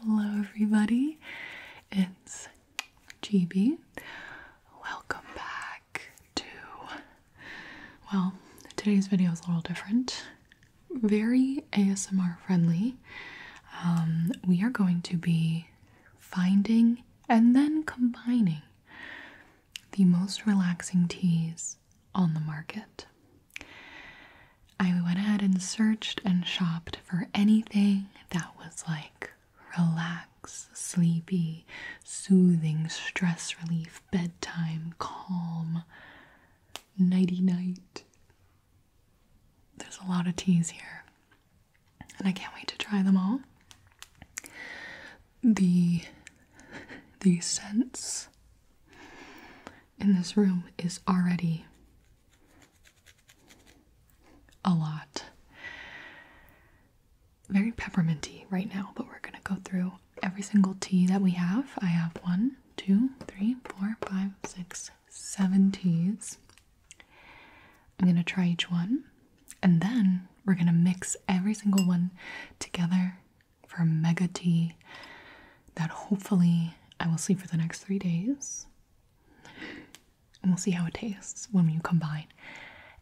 Hello, everybody. It's GB. Welcome back to. Well, today's video is a little different. Very ASMR friendly. Um, we are going to be finding and then combining the most relaxing teas on the market. I went ahead and searched and shopped for anything that was like relax, sleepy, soothing, stress relief, bedtime, calm, nighty night. There's a lot of teas here, and I can't wait to try them all. The the scents in this room is already a lot. Very pepperminty right now, but we're gonna go through every single tea that we have. I have one, two, three, four, five, six, seven teas. I'm gonna try each one, and then we're gonna mix every single one together for a mega tea that hopefully I will sleep for the next three days. And we'll see how it tastes when we combine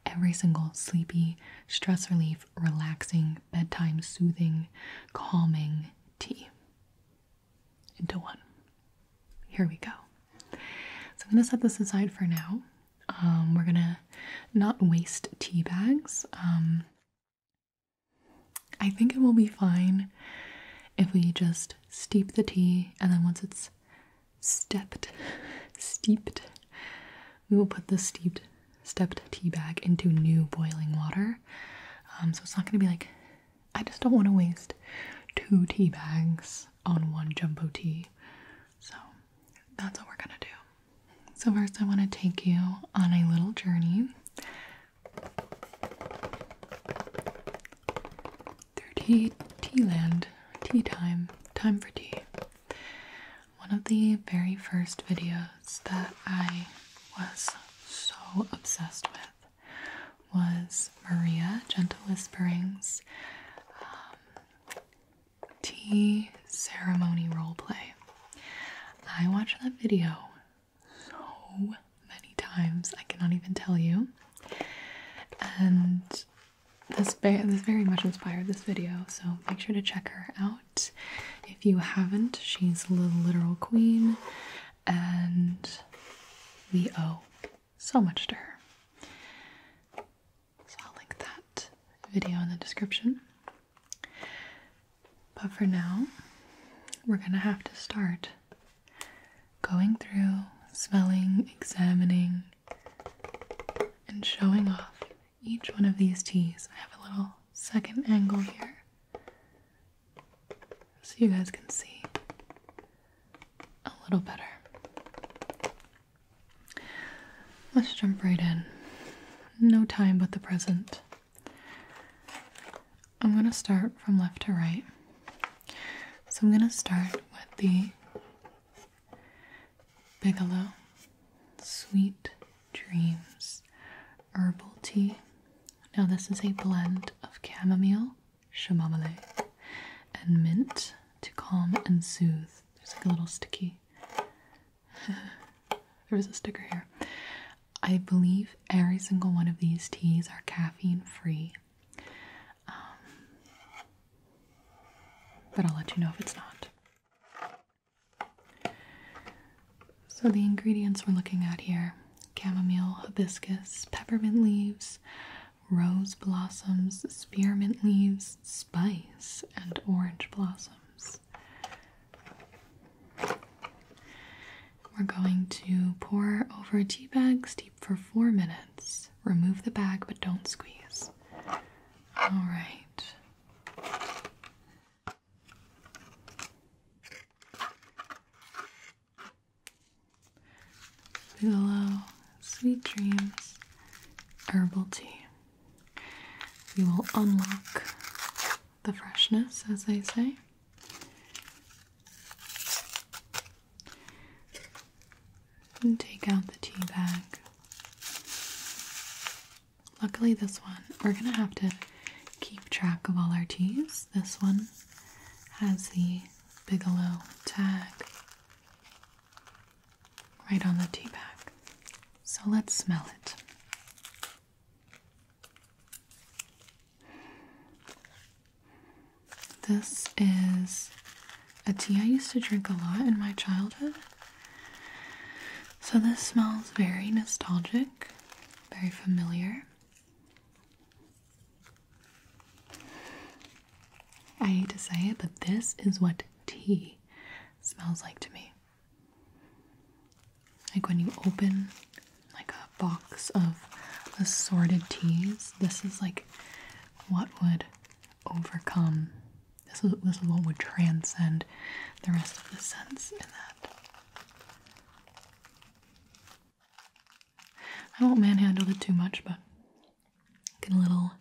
every single sleepy, stress relief, relaxing, bedtime soothing, calming tea into one. Here we go. So I'm gonna set this aside for now. Um, we're gonna not waste tea bags. Um, I think it will be fine if we just steep the tea and then once it's stepped, steeped, we will put the steeped, stepped tea bag into new boiling water. Um, so it's not going to be like, I just don't want to waste two tea bags on one jumbo tea. So that's what we're going to do. So, first, I want to take you on a little journey Thirty tea land, tea time, time for tea. One of the very first videos that I was so obsessed with was Maria Gentle Whisperings um, tea ceremony role play. I watched that video so many times. I cannot even tell you. And this very, much inspired this video, so make sure to check her out if you haven't. She's the literal queen, and we owe so much to her. So I'll link that video in the description. But for now, we're going to have to start going through, smelling, examining, and showing off each one of these teas. I have a little second angle here so you guys can see a little better. Let's jump right in. No time but the present. I'm going to start from left to right. So I'm going to start with the Bigelow Sweet Dreams Herbal Tea. Now, this is a blend of chamomile, chamomile, and mint to calm and soothe. There's like a little sticky. there was a sticker here. I believe every single one of these teas are caffeine free. Um, but I'll let you know if it's not. So, the ingredients we're looking at here chamomile, hibiscus, peppermint leaves, rose blossoms, spearmint leaves, spice, and orange blossoms. We're going to pour over a tea bag, steep for four minutes. Remove the bag but don't squeeze. All right. Bigelow Sweet Dreams Herbal Tea. We will unlock the freshness, as they say. And take out the tea bag. Luckily, this one, we're gonna have to keep track of all our teas. This one has the Bigelow tag right on the tea bag. So let's smell it. This is a tea I used to drink a lot in my childhood. So this smells very nostalgic, very familiar. I hate to say it, but this is what tea smells like to me. Like when you open like a box of assorted teas, this is like what would overcome this is this is what would transcend the rest of the sense in that. I won't manhandle it too much, but get a little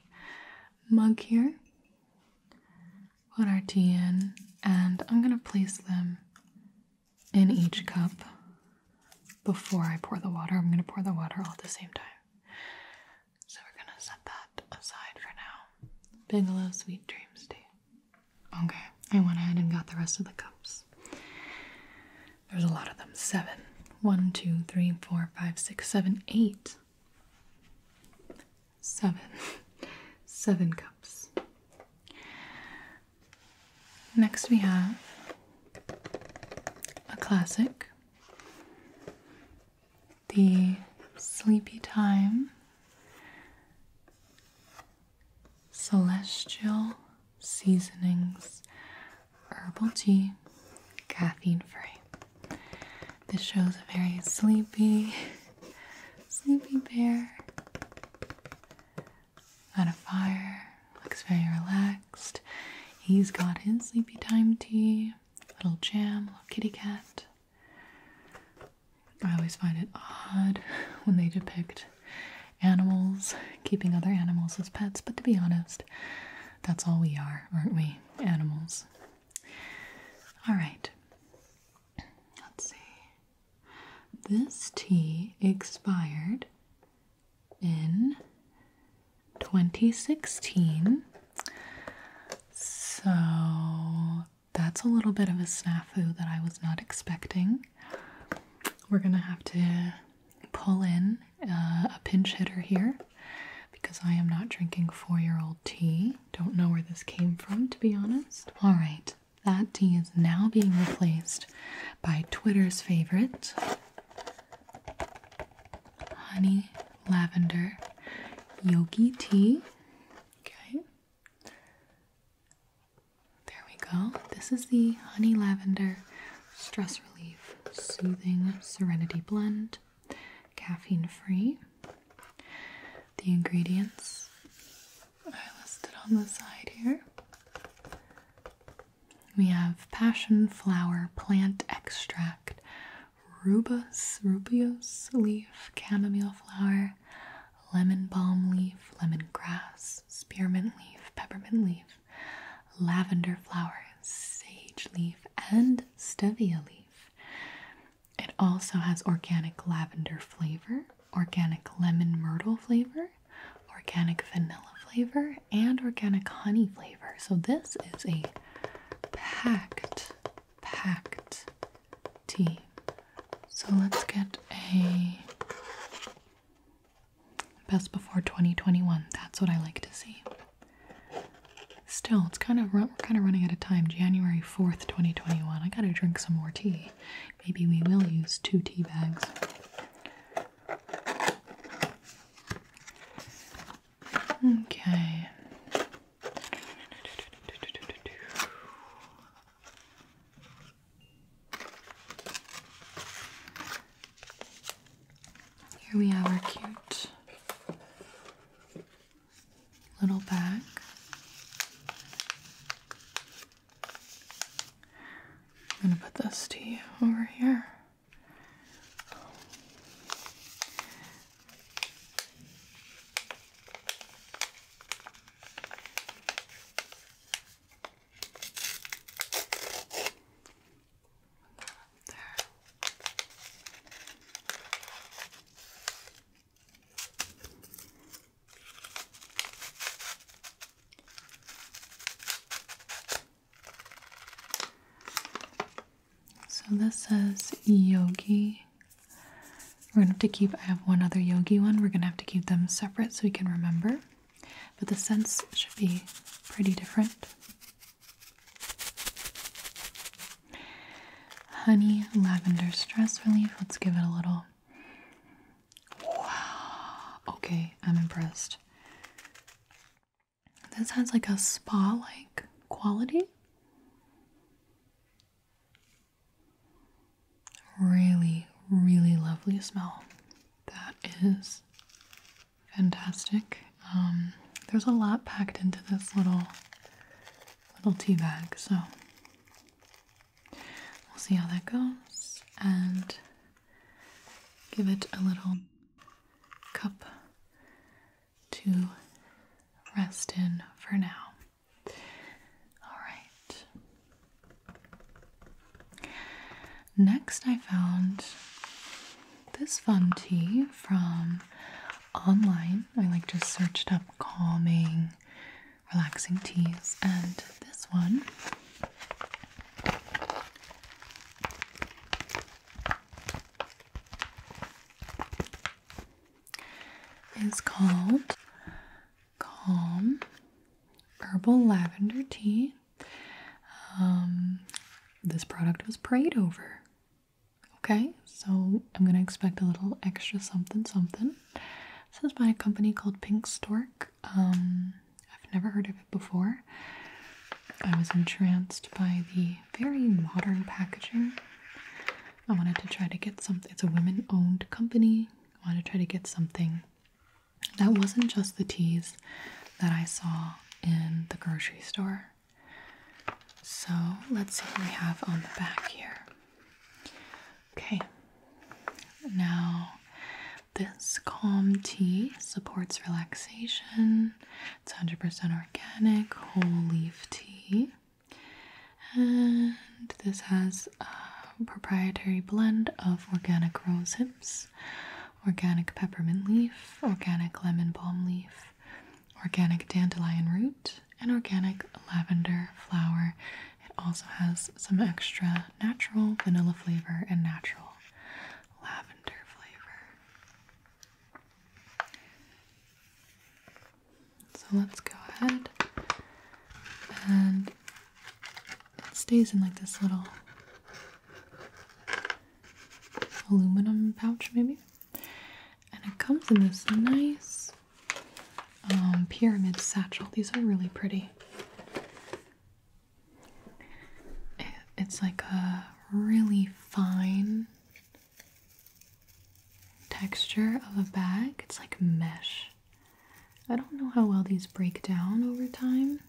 mug here put our tea in, and I'm going to place them in each cup before I pour the water. I'm going to pour the water all at the same time. So we're going to set that aside for now. Bigelow Sweet Dreams tea. Okay, I went ahead and got the rest of the cups. There's a lot of them. Seven. One, two, three, four, five, six, seven, eight seven. seven cups. Next, we have a classic the Sleepy Time Celestial Seasonings Herbal Tea Caffeine Free. This shows a very sleepy, Sleepy bear on a fire, looks very relaxed. He's got his sleepy time tea, little jam, little kitty cat. I always find it odd when they depict animals keeping other animals as pets, but to be honest, that's all we are, aren't we? Animals. Alright. Let's see. This tea expired in 2016. So that's a little bit of a snafu that I was not expecting. We're gonna have to pull in uh, a pinch hitter here because I am not drinking four year old tea. Don't know where this came from, to be honest. All right, that tea is now being replaced by Twitter's favorite honey lavender yogi tea. Okay. There we go. This is the honey lavender stress relief soothing serenity blend, caffeine free. The ingredients are listed on the side here. We have passion flower plant extract, rubus, rubios leaf, chamomile flower, lemon balm leaf, lemon grass, spearmint leaf, peppermint leaf, lavender flowers, sage leaf, and stevia leaf. It also has organic lavender flavor, organic lemon myrtle flavor, organic vanilla flavor, and organic honey flavor. So this is a packed, packed tea. So let's get a best before 2021. That's what I like to see. Still, it's kind of we're kind of running out of time. January 4th, 2021. I gotta drink some more tea. Maybe we will use two tea bags. Okay. Here we have our cute little bag. I'm gonna put this to you over here. There. So this says yogi. We're gonna have to keep, I have one other yogi one. We're gonna have to keep them separate so we can remember. But the scents should be pretty different. Honey lavender stress relief. Let's give it a little. Wow. Okay, I'm impressed. This has like a spa like quality. Really, really lovely smell. That is fantastic. Um, there's a lot packed into this little little tea bag. So we'll see how that goes and give it a little cup to rest in for now. All right. Next, I found this fun tea from online. I like just searched up calming, relaxing teas. And this one is called Calm Herbal Lavender Tea. Um, this product was prayed over Okay, so I'm gonna expect a little extra something something. This is by a company called Pink Stork. Um, I've never heard of it before. I was entranced by the very modern packaging. I wanted to try to get something, it's a women owned company. I wanted to try to get something that wasn't just the teas that I saw in the grocery store. So let's see what we have on the back here. Okay, now this calm tea supports relaxation. It's 100% organic whole leaf tea. And this has a proprietary blend of organic rose hips, organic peppermint leaf, organic lemon balm leaf, organic dandelion root, and organic lavender flower. It also has some extra natural vanilla flavor and natural lavender flavor. So let's go ahead and it stays in like this little aluminum pouch, maybe and it comes in this nice um, pyramid satchel. These are really pretty. It's like a really fine texture of a bag. It's like mesh. I don't know how well these break down over time,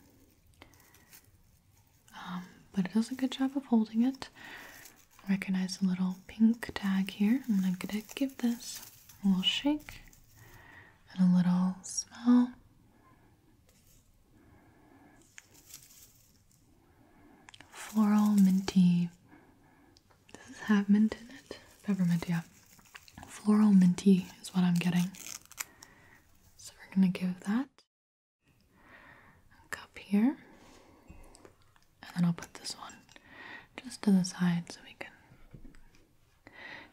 um, but it does a good job of holding it recognize a little pink tag here. I'm gonna give this a little shake and a little smell. Floral minty. Does it have mint in it? Peppermint, yeah. Floral minty is what I'm getting. So we're gonna give that a cup here and then I'll put this one just to the side so we can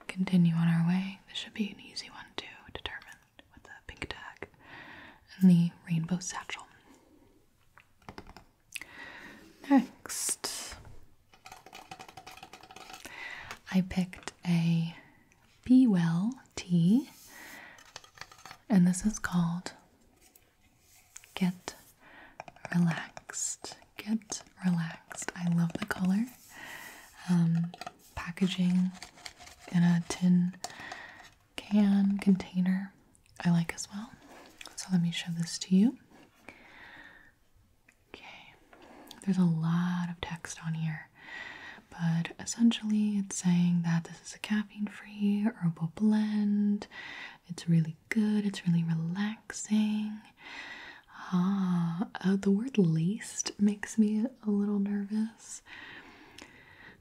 continue on our way. This should be an easy one to determine with the pink tag and the rainbow satchel. Next, I picked a Be Well tea, and this is called Get relaxed. Get relaxed. I love the color. Um, packaging in a tin can container, I like as well. So let me show this to you. Okay, there's a lot of text on here, but essentially it's saying that this is a caffeine free herbal blend. It's really good, it's really relaxing. Ah, uh, the word laced makes me a little nervous.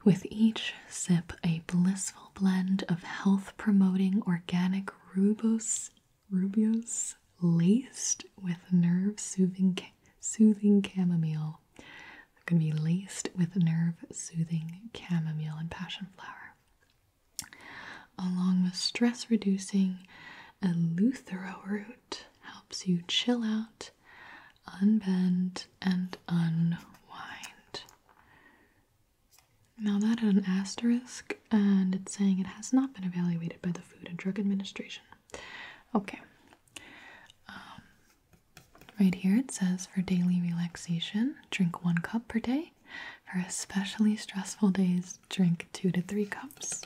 With each sip, a blissful blend of health promoting organic rubos, rubios laced with nerve soothing, soothing chamomile. they going to be laced with nerve soothing chamomile and passion flower along with stress reducing eleuthero root helps you chill out unbend and unwind now that had an asterisk and it's saying it has not been evaluated by the food and drug administration okay um, right here it says for daily relaxation drink one cup per day for especially stressful days, drink two to three cups.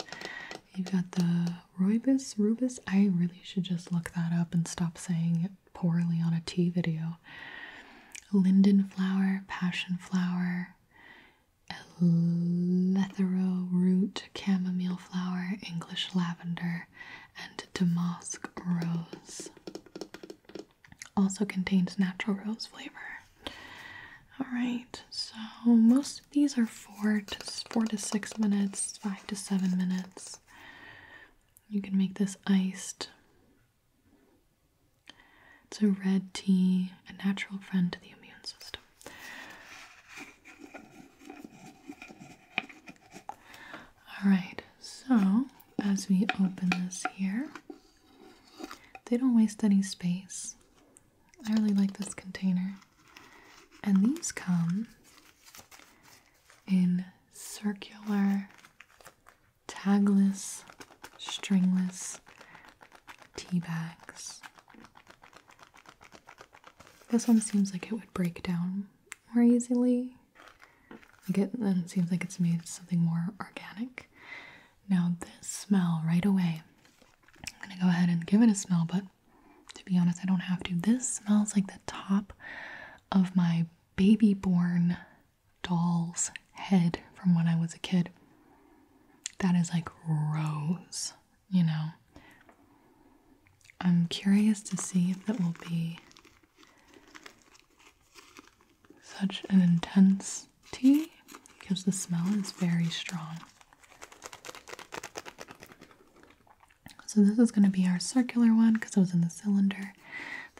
You've got the rooibos, rubus. I really should just look that up and stop saying it poorly on a tea video. Linden flower, passion flower, elethero root, chamomile flower, English lavender, and damask rose. Also contains natural rose flavor. Alright, so most of these are four to four to six minutes, five to seven minutes. You can make this iced. It's a red tea, a natural friend to the immune system. All right, so as we open this here, they don't waste any space. I really like this container. And these come in circular, tagless, stringless tea bags. This one seems like it would break down more easily. Like it, and it seems like it's made something more organic. Now this smell right away. I'm gonna go ahead and give it a smell, but to be honest, I don't have to. This smells like the top of my baby born doll's head from when I was a kid. That is like rose, you know. I'm curious to see if it will be such an intense tea because the smell is very strong. So, this is going to be our circular one because it was in the cylinder.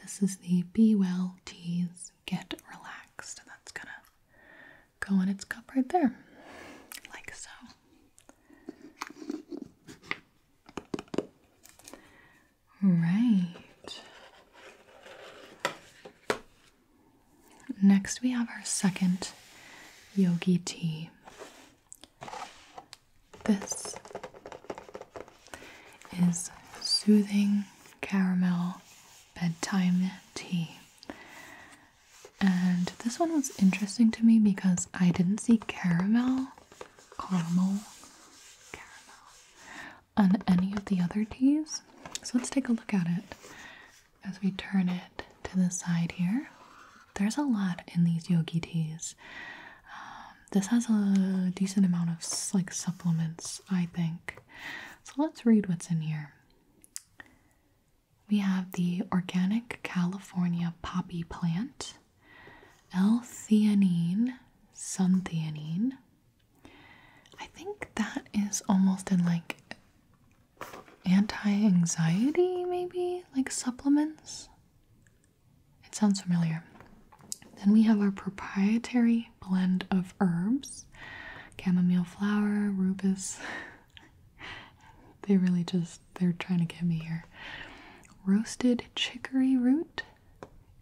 This is the Be Well Teas Get Relaxed, and that's going to go in its cup right there, like so. Right. Next, we have our second yogi tea. This is soothing caramel bedtime tea. And this one was interesting to me because I didn't see caramel, caramel, caramel on any of the other teas. So let's take a look at it as we turn it to the side here. There's a lot in these yogi teas. Um, this has a decent amount of like supplements, I think. So let's read what's in here. We have the organic California poppy plant. L-theanine, suntheanine. I think that is almost in like anti-anxiety maybe, like supplements. It sounds familiar. Then we have our proprietary blend of herbs, chamomile flower, rubus. they really just they're trying to get me here. Roasted chicory root,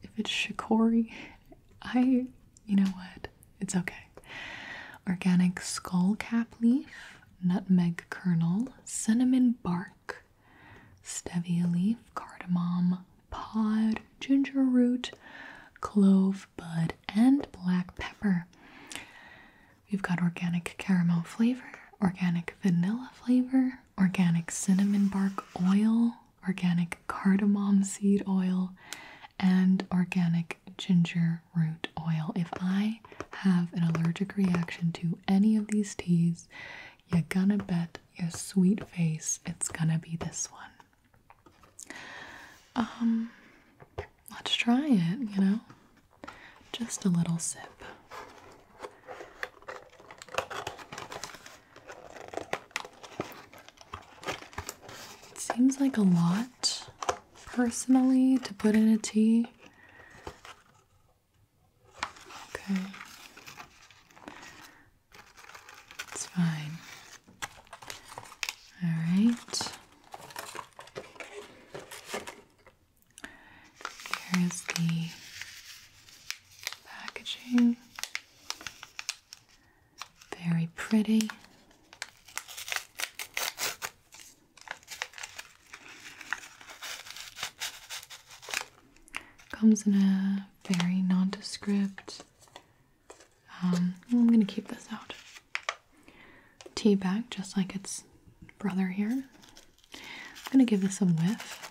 if it's shikori, I, you know what, it's okay. Organic skullcap leaf, nutmeg kernel, cinnamon bark, stevia leaf, cardamom pod, ginger root, clove bud, and black pepper. We've got organic caramel flavor, organic vanilla flavor, organic cinnamon bark oil, organic cardamom seed oil, and organic ginger root oil. If I have an allergic reaction to any of these teas, you're gonna bet your sweet face it's gonna be this one. Um, let's try it, you know? Just a little sip. It seems like a lot, personally, to put in a tea. Okay. It's fine. All right. Here is the packaging. Very pretty. Comes in a very nondescript. Um, I'm gonna keep this out. Tea bag, just like its brother here. I'm gonna give this a whiff.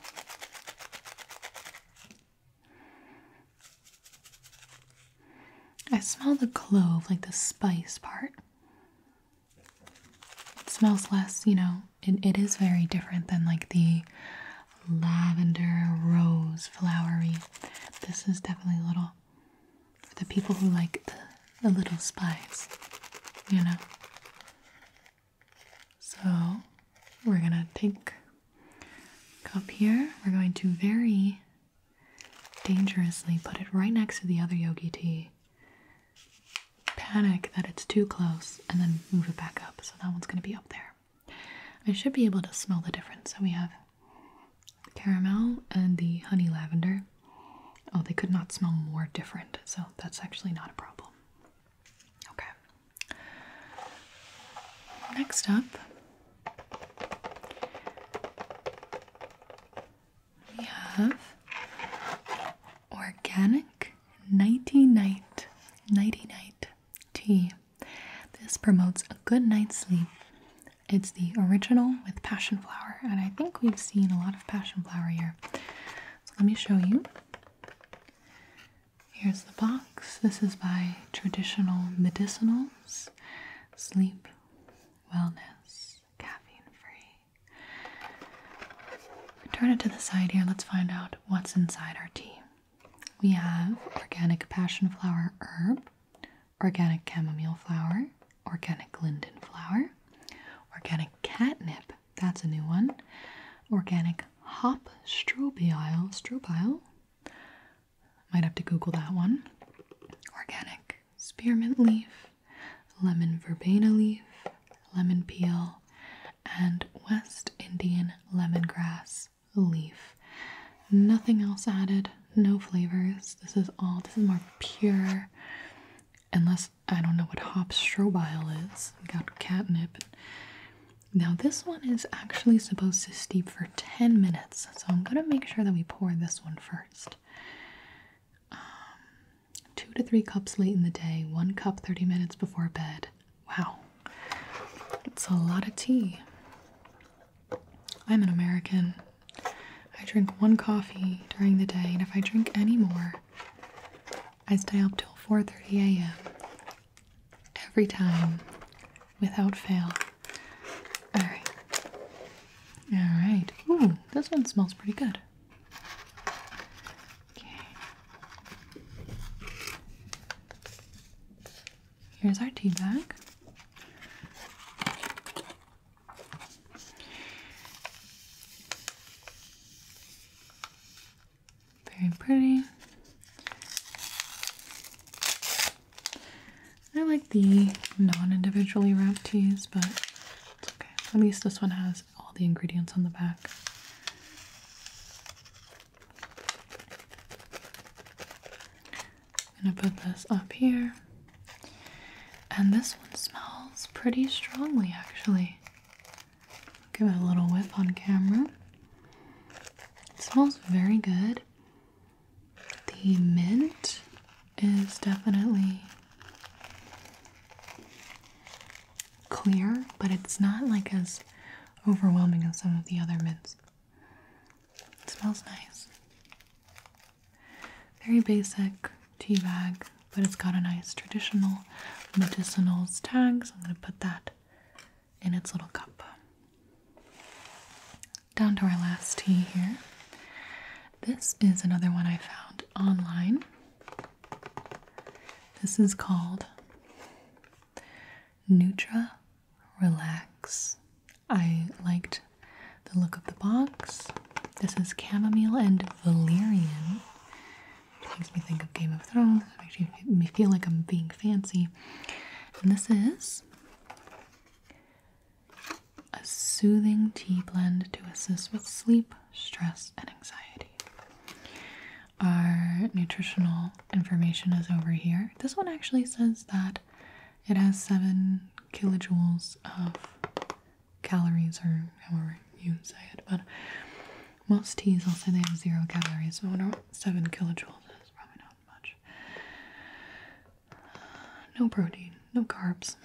I smell the clove, like the spice part. It smells less, you know, it, it is very different than like the lavender rose flowery. This is definitely a little for the people who like the, the little spice, you know. So we're gonna take cup here. We're going to very dangerously put it right next to the other yogi tea. Panic that it's too close and then move it back up. So that one's gonna be up there. I should be able to smell the difference. So we have caramel and the honey lavender. Oh, they could not smell more different, so that's actually not a problem. Okay. Next up, we have organic nighty night, nighty night tea. This promotes a good night's sleep. It's the original with passion flower, and I think we've seen a lot of passion flower here. So let me show you. Here's the box. This is by Traditional Medicinals. Sleep, wellness, caffeine free. Turn it to the side here. Let's find out what's inside our tea. We have organic passion flower herb, organic chamomile flower, organic linden flower, organic catnip that's a new one. Organic hop strobiol. Strobiol? Might have to Google that one. Organic spearmint leaf, lemon verbena leaf, lemon peel, and West Indian lemongrass leaf. Nothing else added, no flavors. This is all, this is more pure, unless I don't know what hop strobiol is. Got catnip now this one is actually supposed to steep for 10 minutes, so I'm gonna make sure that we pour this one first. Um, two to three cups late in the day, one cup 30 minutes before bed. Wow, it's a lot of tea. I'm an American. I drink one coffee during the day, and if I drink any more, I stay up till 4:30 a.m. every time without fail. All right. All right. Ooh, this one smells pretty good. Okay. Here's our tea bag. Very pretty. I like the non-individually wrapped teas, but it's okay. At least this one has all the ingredients on the back. I'm gonna put this up here. And this one smells pretty strongly actually. Give it a little whip on camera. It smells very good. The mint is definitely clear, but it's not like as overwhelming as some of the other mints. It smells nice. Very basic tea bag but it's got a nice traditional medicinals tag, so I'm going to put that in its little cup. Down to our last tea here. This is another one I found online. This is called Nutra Relax. I liked the look of the box. This is chamomile and valerian. It makes me think of Game of Thrones. It makes me feel like I'm being fancy. And this is a soothing tea blend to assist with sleep, stress, and anxiety. Our nutritional information is over here. This one actually says that it has seven kilojoules of calories, or however you say it, but most teas, I'll say they have zero calories. So wonder what 7 kilojoules is. Probably not much. No protein, no carbs.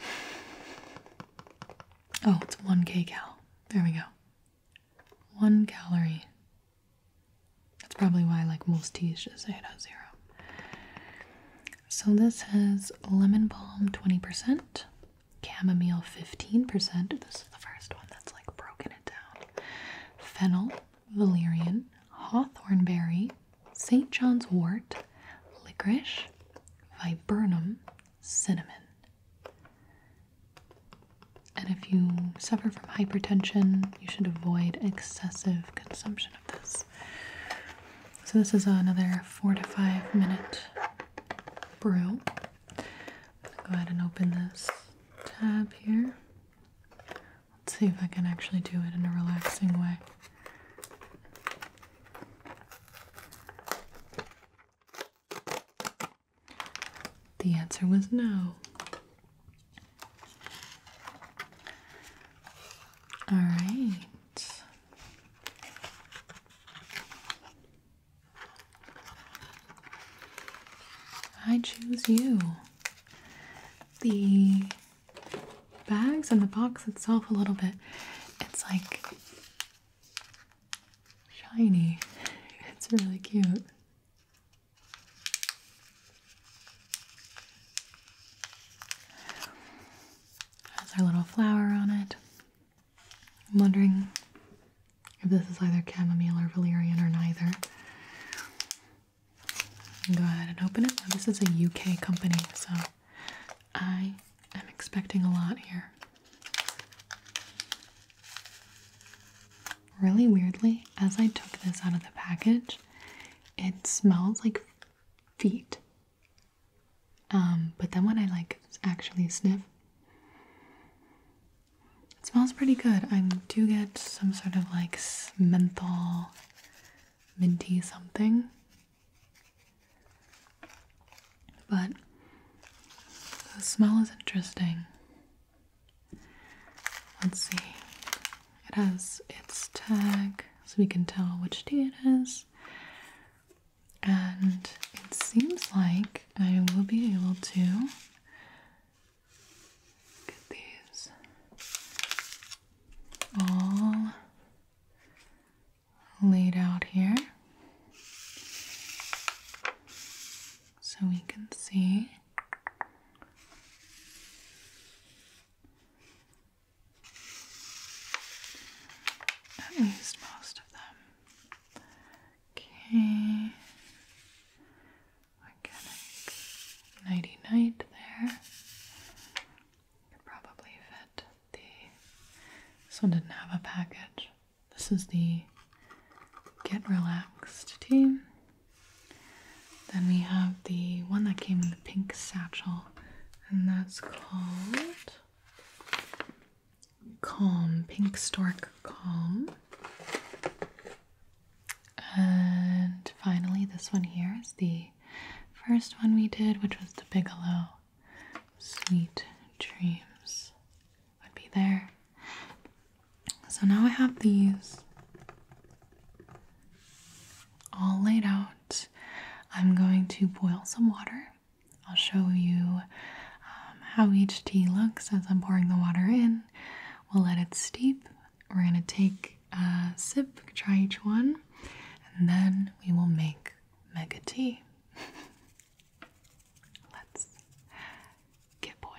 Oh, it's 1 kcal. There we go. 1 calorie. That's probably why, like most teas, just say it has zero. So this has lemon balm 20%, chamomile 15%. This is the first one that's like broken it down. Fennel, valerian, hawthorn berry, St. John's wort, licorice, viburnum, cinnamon. And if you suffer from hypertension, you should avoid excessive consumption of this. So, this is another four to five minute brew. I'm gonna go ahead and open this tab here. Let's see if I can actually do it in a relaxing way. The answer was no. All right. I choose you. The bags and the box itself, a little bit, it's like shiny. It's really cute. Has our little flower on it. I'm wondering if this is either chamomile or valerian or neither. Go ahead and open it. this is a UK company, so I am expecting a lot here. Really weirdly, as I took this out of the package, it smells like feet. Um, but then when I like actually sniff, it smells pretty good. I do get some sort of like menthol, minty something. But the smell is interesting. Let's see. It has its tag so we can tell which tea it is and it seems like I will be able to get these all laid out here so we can see. At least most of them. Okay. Organic nighty night there. Could probably fit the this one didn't have a package. This is the Get Relaxed team. Then we have the one that came in the pink satchel, and that's called Calm, Pink Stork Calm. And finally, this one here is the first one we did, which was the Bigelow Sweet Dreams. Would be there. So now I have these all laid out. I'm going to boil some water I'll show you um, how each tea looks as I'm pouring the water in. We'll let it steep. We're going to take a sip, try each one, and then we will make mega tea. Let's get boiling.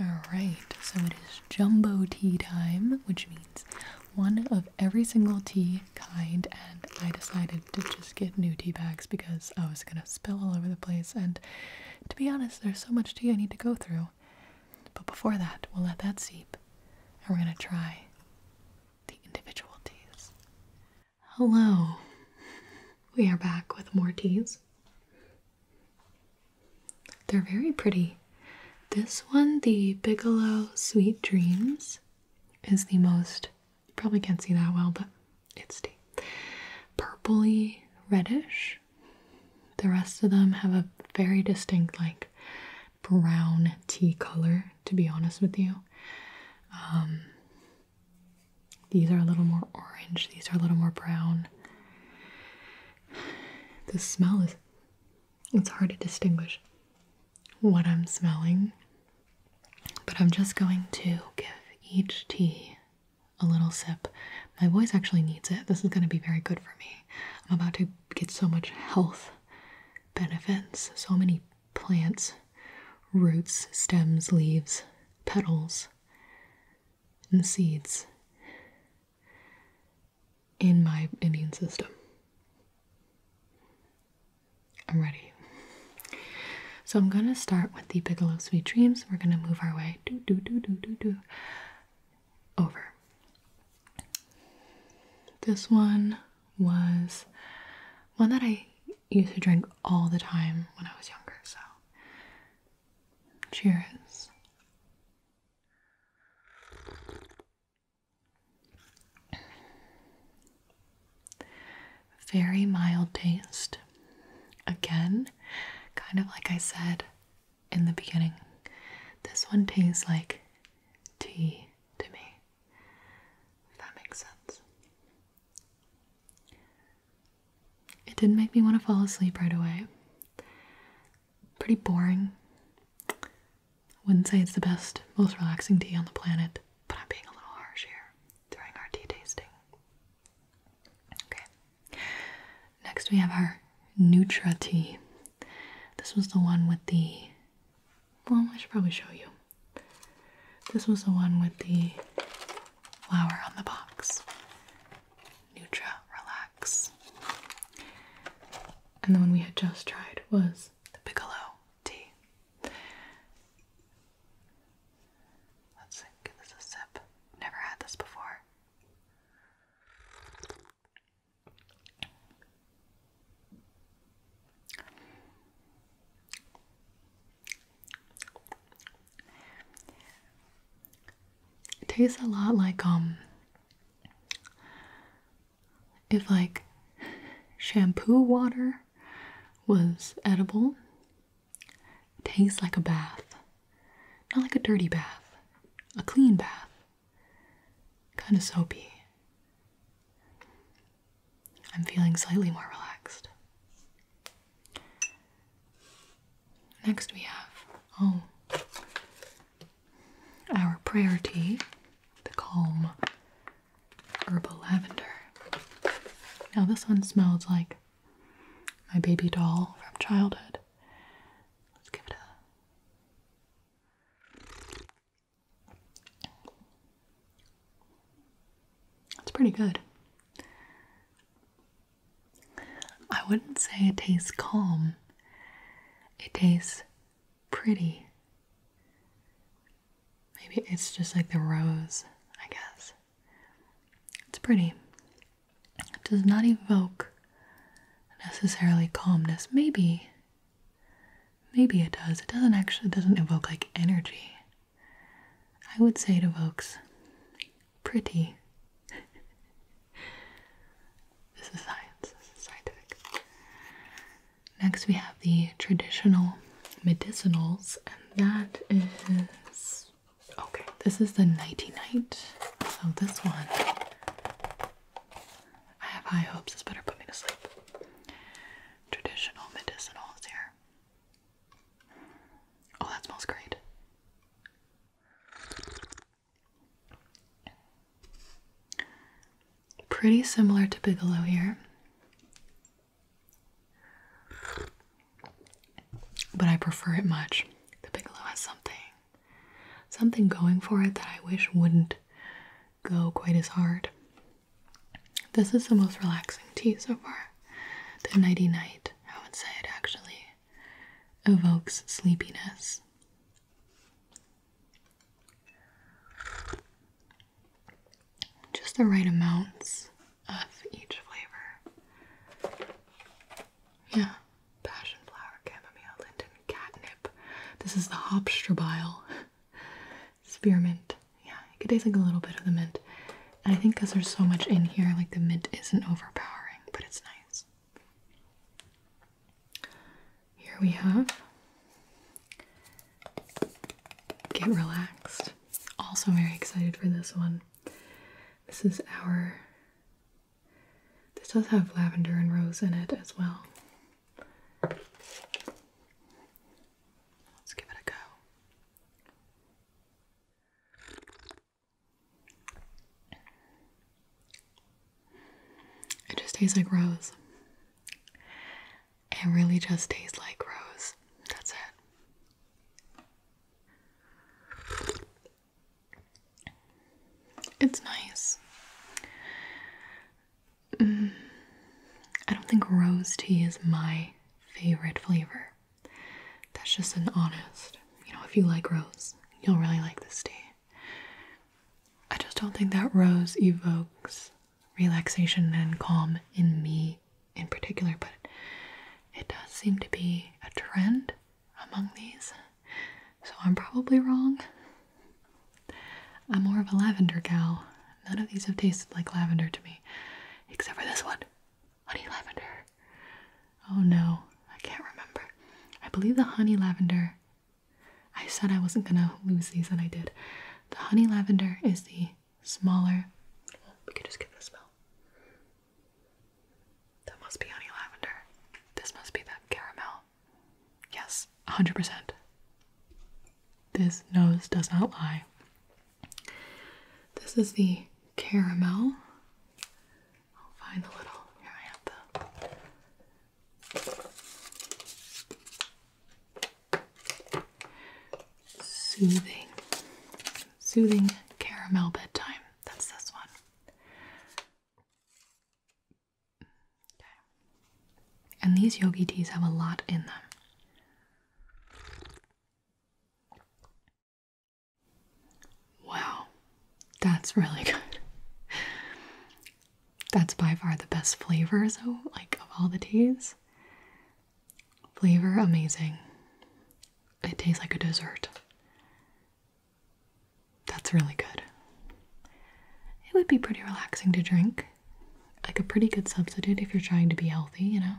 Alright, so it is jumbo tea time, which means one of every single tea kind, and I decided to just get new tea bags because I was gonna spill all over the place. And to be honest, there's so much tea I need to go through. But before that, we'll let that seep and we're gonna try the individual teas. Hello, we are back with more teas. They're very pretty. This one, the Bigelow Sweet Dreams, is the most you probably can't see that well, but it's tea. Purpley reddish. The rest of them have a very distinct, like, brown tea color, to be honest with you. Um, these are a little more orange, these are a little more brown. The smell is, it's hard to distinguish what I'm smelling but I'm just going to give each tea a little sip. My voice actually needs it. This is going to be very good for me. I'm about to get so much health benefits, so many plants, roots, stems, leaves, petals, and seeds in my immune system. I'm ready. So I'm gonna start with the Bigelow Sweet Dreams. We're gonna move our way doo doo doo doo doo doo over. This one was one that I used to drink all the time when I was younger, so cheers. Very mild taste. Again, kind of like I said in the beginning, this one tastes like tea to me. If that makes sense. It didn't make me want to fall asleep right away. Pretty boring. Wouldn't say it's the best, most relaxing tea on the planet, but I'm being a little harsh here during our tea tasting. Okay. Next we have our Nutra tea. This was the one with the well, I should probably show you. This was the one with the flower on the box. Nutra Relax. And the one we had just tried was the Piccolo tea. Let's give this a sip. Never had this before. It tastes a lot like um if like shampoo water was edible. It tastes like a bath. Not like a dirty bath, a clean bath. Kind of soapy. I'm feeling slightly more relaxed. Next, we have oh, our prayer tea, the calm herbal lavender. Now, this one smells like my baby doll from childhood. Let's give it a. It's pretty good. I wouldn't say it tastes calm, it tastes pretty Maybe it's just like the rose, I guess. It's pretty. It does not evoke necessarily calmness. Maybe. Maybe it does. It doesn't actually doesn't evoke like energy. I would say it evokes pretty. this is science. This is scientific. Next, we have the traditional medicinals, and that is okay. This is the Nighty Night. So, this one I have high hopes, this better put me to sleep. Traditional medicinals here. Oh, that smells great. Pretty similar to Bigelow here. But I prefer it much. The Bigelow has something something going for it that I wish wouldn't go quite as hard. This is the most relaxing tea so far. The nighty night, I would say it actually evokes sleepiness just the right amounts of each flavor. Yeah, passion flower, chamomile, linden, catnip. This is the hopstrabile spearmint. Yeah, it tastes like a little bit of the mint. And I think because there's so much in here, like the mint isn't overpowering, but it's nice. Here we have get relaxed. Also, very excited for this one. This is our. This does have lavender and rose in it as well. Let's give it a go. It just tastes like rose. It really just tastes like rose. That's it. It's nice. Mm. I don't think rose tea is my favorite flavor. That's just an honest. You know, if you like rose, you'll really like this tea. I just don't think that rose evokes relaxation and calm in me in particular, but it does seem to be a trend among these. So I'm probably wrong. I'm more of a lavender gal. None of these have tasted like lavender to me, except for this one honey lavender. Oh no, I can't remember. I believe the honey lavender I said I wasn't gonna lose these, and I did. The honey lavender is the smaller. we could just give it smell. That must be honey lavender. This must be that caramel. Yes, 100%. This nose does not lie. This is the caramel. I'll find the little. Here I have the. Soothing. Soothing Caramel Bedtime. That's this one. Okay. And these yogi teas have a lot in them. Wow, that's really good. That's by far the best flavor, so like of all the teas. Flavor amazing. It tastes like a dessert. That's really good. It would be pretty relaxing to drink. Like a pretty good substitute if you're trying to be healthy, you know.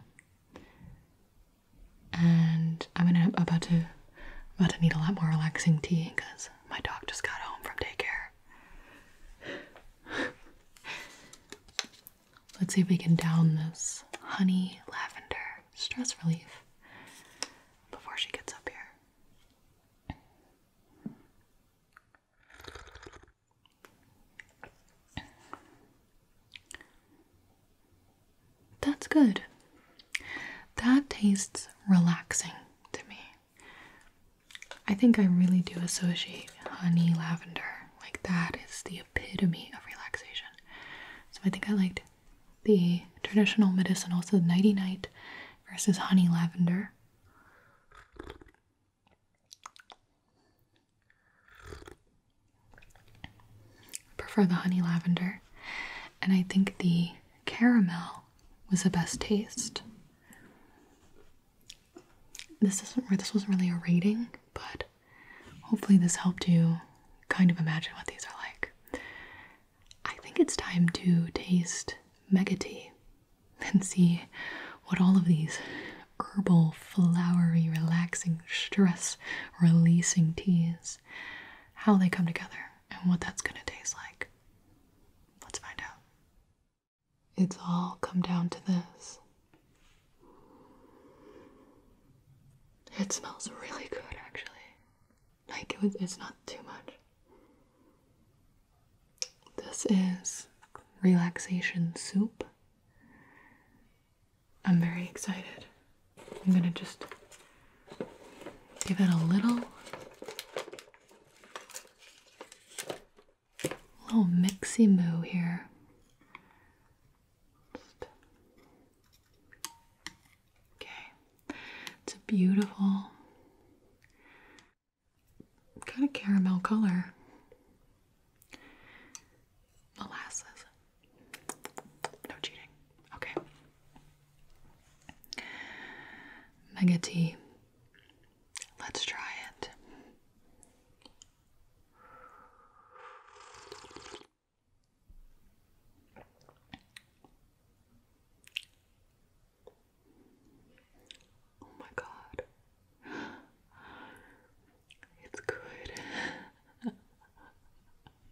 And I'm gonna about to about to need a lot more relaxing tea because my dog just got home from daycare. Let's see if we can down this honey lavender stress relief before she gets up here. That's good. That tastes relaxing to me. I think I really do associate honey lavender. Like that is the epitome of relaxation. So I think I liked the traditional medicinal, so nighty night versus honey lavender. prefer the honey lavender. And I think the caramel was the best taste. This wasn't really a rating, but hopefully this helped you kind of imagine what these are like. I think it's time to taste mega tea and see what all of these herbal, flowery, relaxing, stress releasing teas how they come together and what that's going to taste like. Let's find out. It's all come down to this. It smells really good, actually. Like, it was, it's not too much. This is relaxation soup. I'm very excited. I'm gonna just give it a little little mixy moo here. Okay, it's a beautiful kind of caramel color. Molasses. No cheating. Okay. Mega T. Let's try it. Oh, my God, it's good,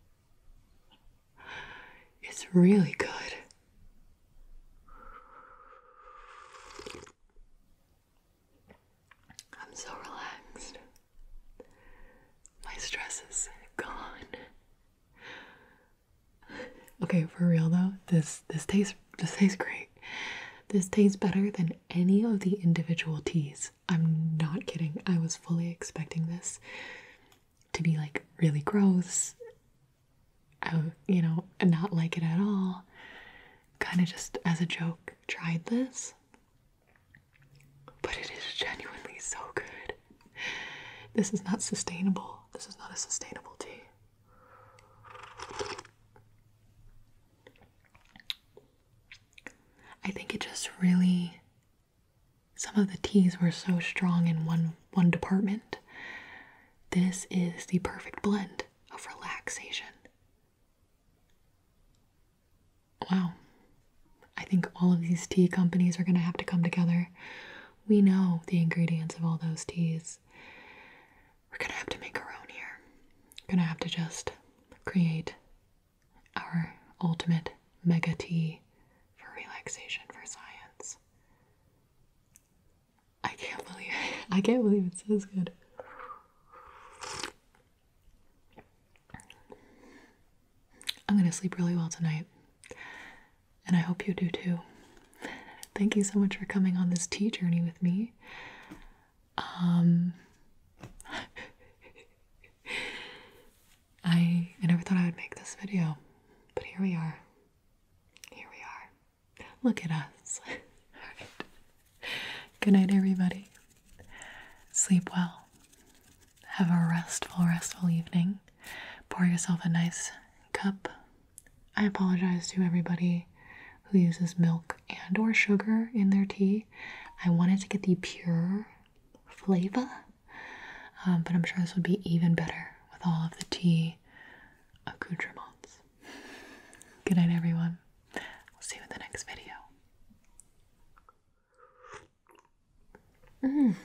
it's really good. I'm so relaxed. My stress is gone. Okay, for real though, this this tastes this tastes great. This tastes better than any of the individual teas. I'm not kidding. I was fully expecting this to be like really gross I, you know, not like it at all. Kind of just as a joke, tried this. But it is genuinely so good. This is not sustainable. This is not a sustainable tea. I think it just really some of the teas were so strong in one one department this is the perfect blend of relaxation. Wow. I think all of these tea companies are going to have to come together. We know the ingredients of all those teas. We're going to have to make our own here. We're going to have to just create our ultimate mega tea for relaxation for science. I can't believe it. I can't believe it says good. I'm gonna sleep really well tonight. And I hope you do too. Thank you so much for coming on this tea journey with me. Um I I never thought I would make this video, but here we are. Here we are. Look at us. Good night, everybody. Sleep well. Have a restful, restful evening. Pour yourself a nice cup. I apologize to everybody who uses milk and or sugar in their tea. I wanted to get the pure flavor, um, but I'm sure this would be even better with all of the tea accoutrements. Good night, everyone. We'll see you in the next video. Mm.